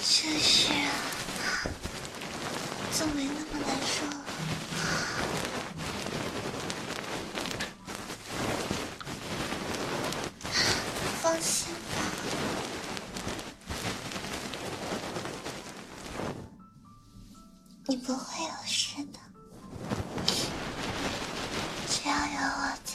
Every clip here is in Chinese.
这是就没那么难受了。放心吧，你不会有事的。只要有我在。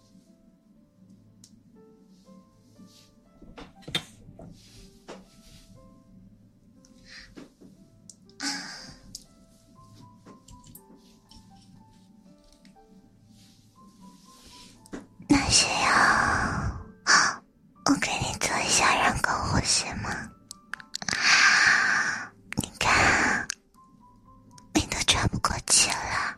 啊，那需要我给你做一下人工呼吸吗？你看。你都喘不过气了。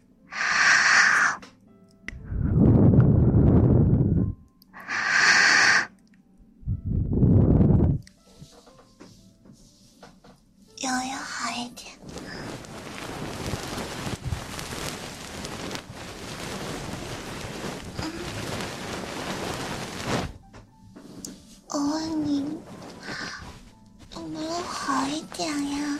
有没有好一点？我问你，有没有好一点呀？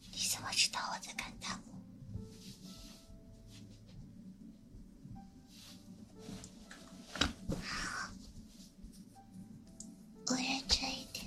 你怎么知道我在看他？我认真一点。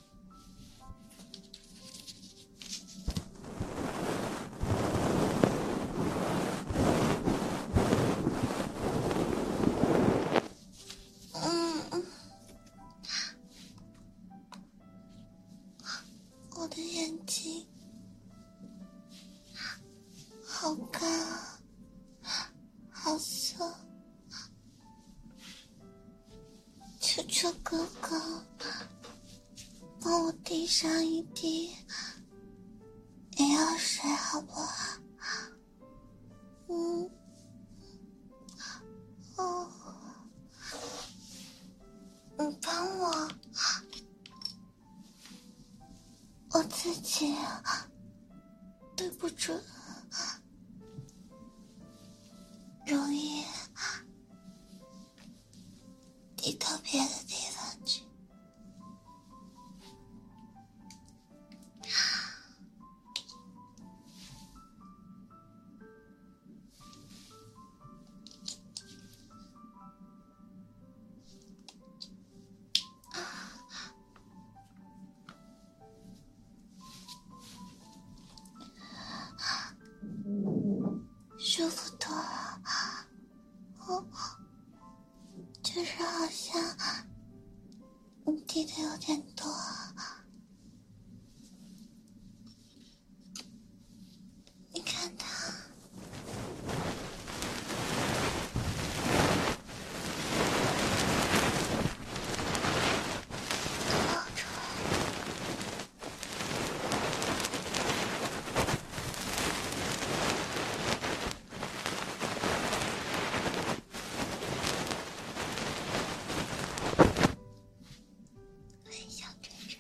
嗯，我的眼睛好干啊，好涩。求求哥哥，帮我滴上一滴眼药水，好不好？嗯，哦，你帮我，我自己对不准。容易你到别的地方去。舒服多了，哦，就是好像你滴的有点多，你看他。小晨晨。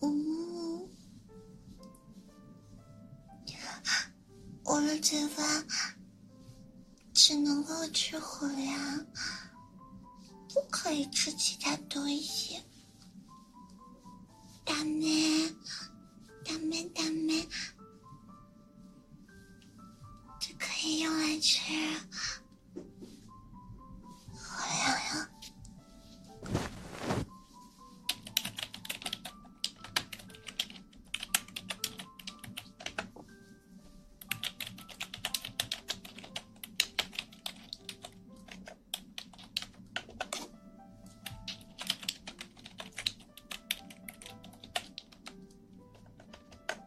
呜，我的嘴巴只能够吃火粮，不可以吃其他东西。ダメ，ダメ，ダメ。这可以用来吃，好想呀。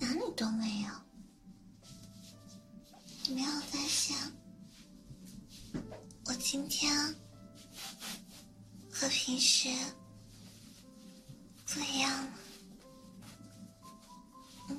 哪里都没有，你没有发现我今天和平时不一样吗？嗯。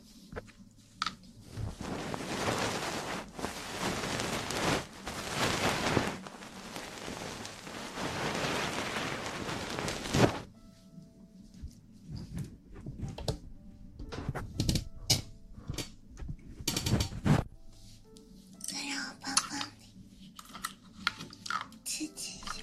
再让我帮帮刺激一下。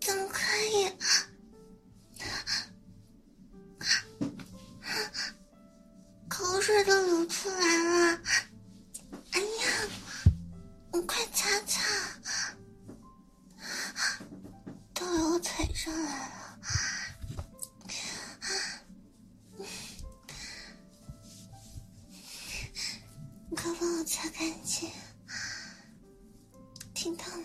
怎么可以？口水都流出来了！哎呀，我快擦擦，都要腿上来了。帮我擦干净，听到没？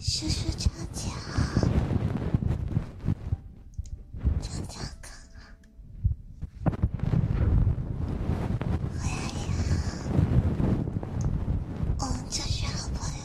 叔叔，张张，张张哥，我呀，我们就是好朋友。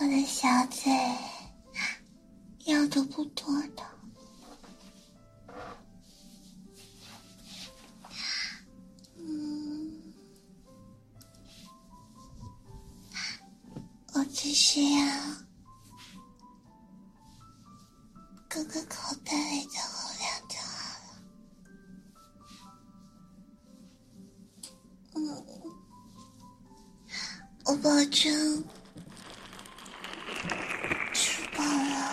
我的小嘴要的不多的。嗯，我只需要哥哥口袋里的热量就好了。嗯，我保证吃饱了。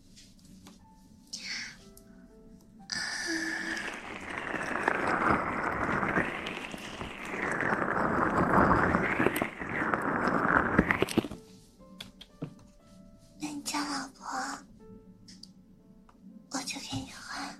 那你叫老婆，我就给你换。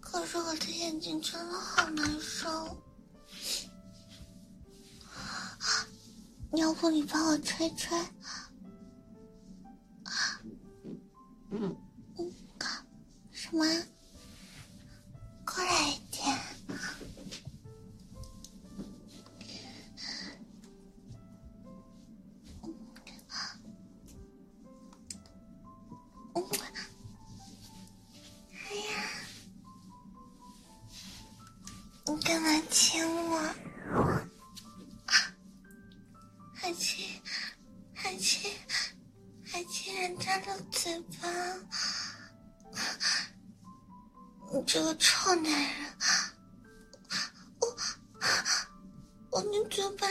可是我的眼睛真的好难受，要不你帮我吹吹？什么？过来一点。哎呀！你干嘛亲我？还亲？还亲？还亲人家的嘴巴？你这个臭男人！我我你嘴巴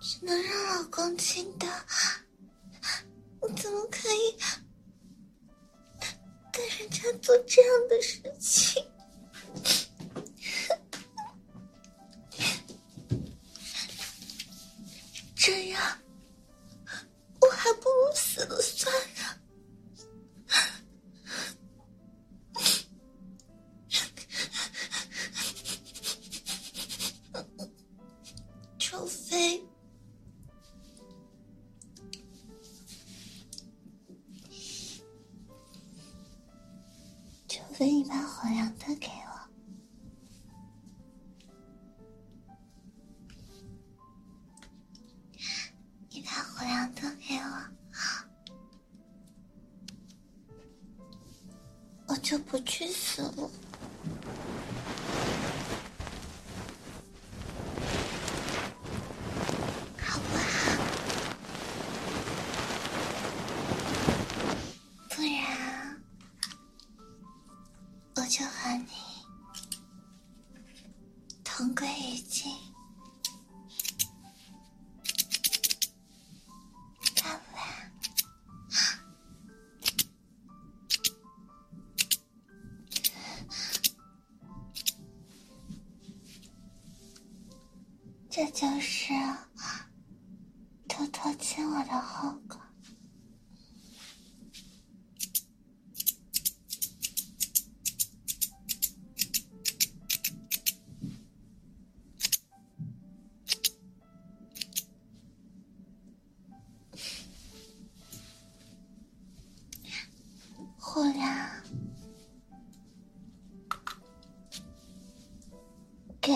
只能让老公亲的。我怎么可以对人家做这样的事情？这样，我还不如死了算了。除非，除非你把火粮都给我，你把火粮都给我。我就不去死了，好不好？不然我就和你同归于尽，好吗？这就是偷偷亲我的后果。后来，给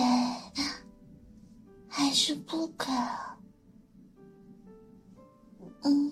还是不给？嗯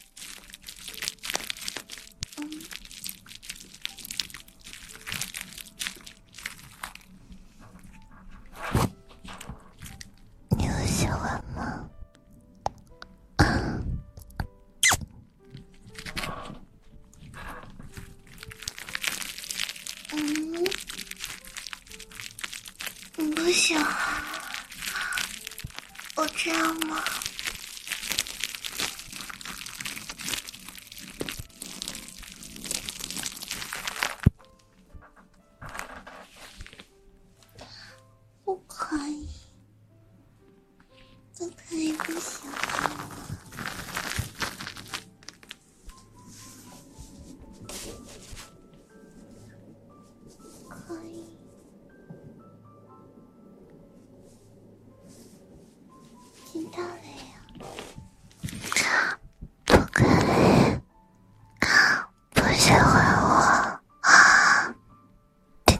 ん、入手はまあうんどうしよう我这样吗？不可以，不可以不行，可以。听到没有？不可以，不喜欢我啊！听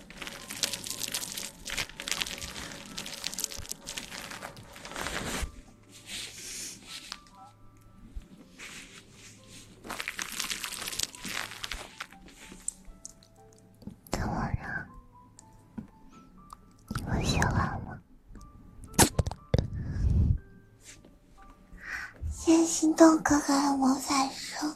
怎么样？我喜欢我。谢谢心动哥哥的魔法书。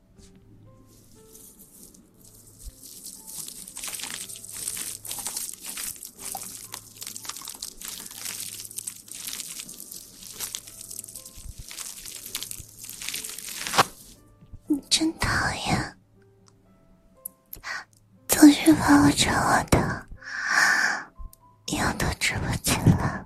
你真讨厌，总是把我扯我的，腰都直不起了。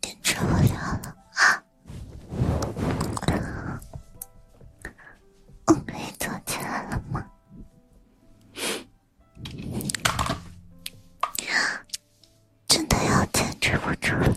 坚持不了了啊！我可以坐起来了吗？真的要坚持不住了。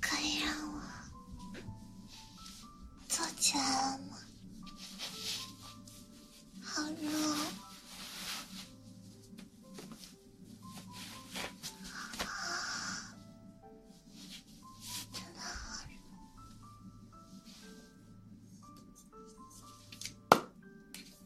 可以让我坐起来了吗？好热，真的好热。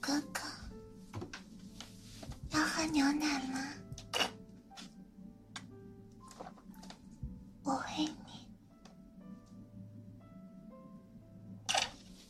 哥哥，要喝牛奶吗？我喂你。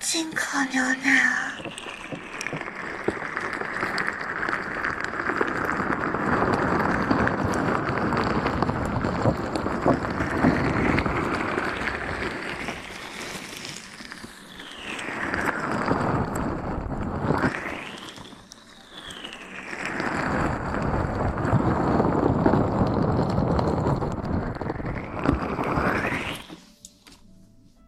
进口牛奶。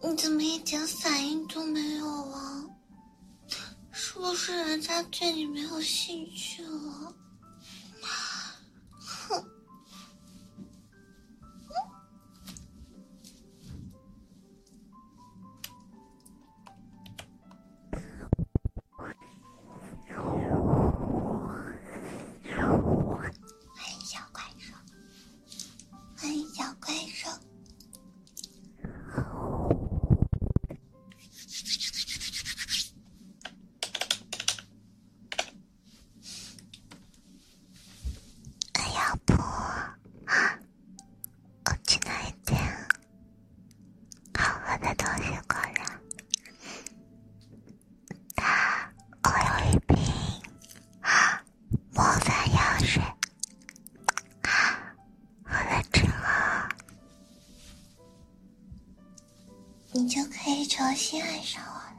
你怎么一点反应都没有啊？是不是人家对你没有兴趣了？哼！欢迎小怪兽，欢迎小怪兽。要不，我进来点好喝的东西过来。我有一瓶魔法药水，喝了之后，你就可以重新爱上我了。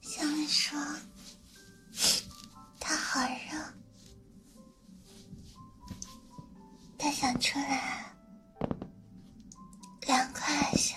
小美说：“它好热，它想出来凉快一下。”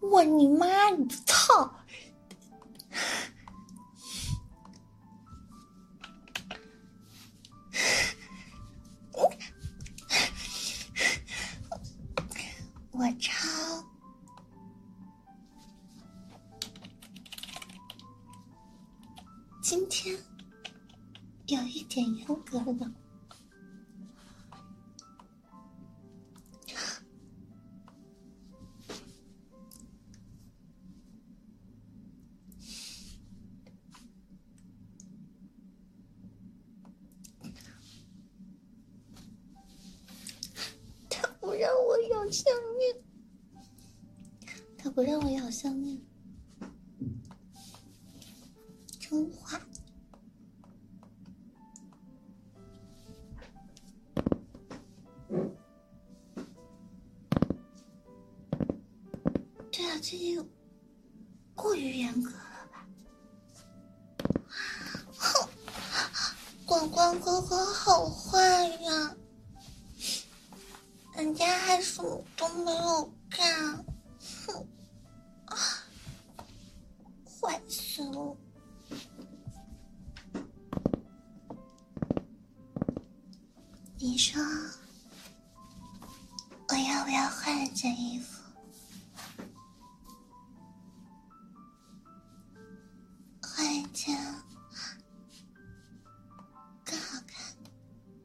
我你妈！你操！我操！今天有一点严格了，他不让我有项链。他不让我咬项链，真坏。对啊，最近过于严格了吧？哼，广光哥哥好坏呀！人家还什么都没有干，哼！坏死了！你说我要不要换一件衣服？换一件更好看？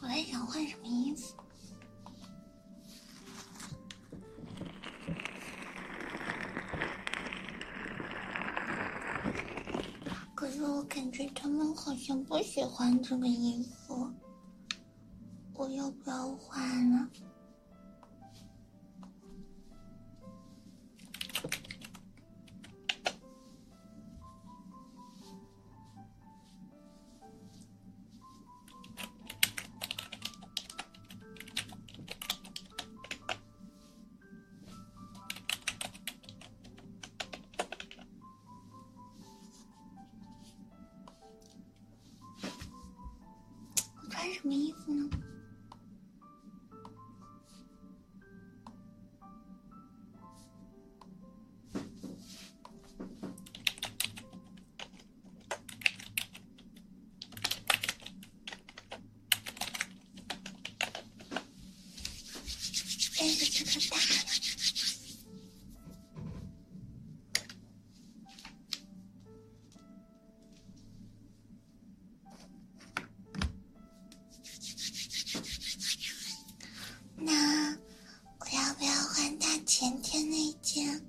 我在想换什么衣服。可是我感觉他们好像不喜欢这个衣服，我要不要换了？我穿什么衣服呢？哎，我找到了。那我要不要换大前天那一件？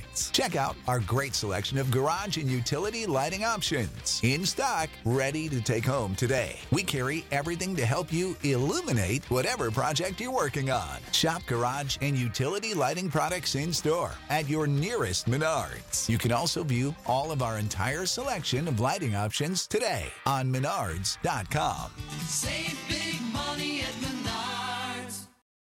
Check out our great selection of garage and utility lighting options in stock, ready to take home today. We carry everything to help you illuminate whatever project you're working on. Shop garage and utility lighting products in store at your nearest Menards. You can also view all of our entire selection of lighting options today on Menards.com. Save big money at Menards.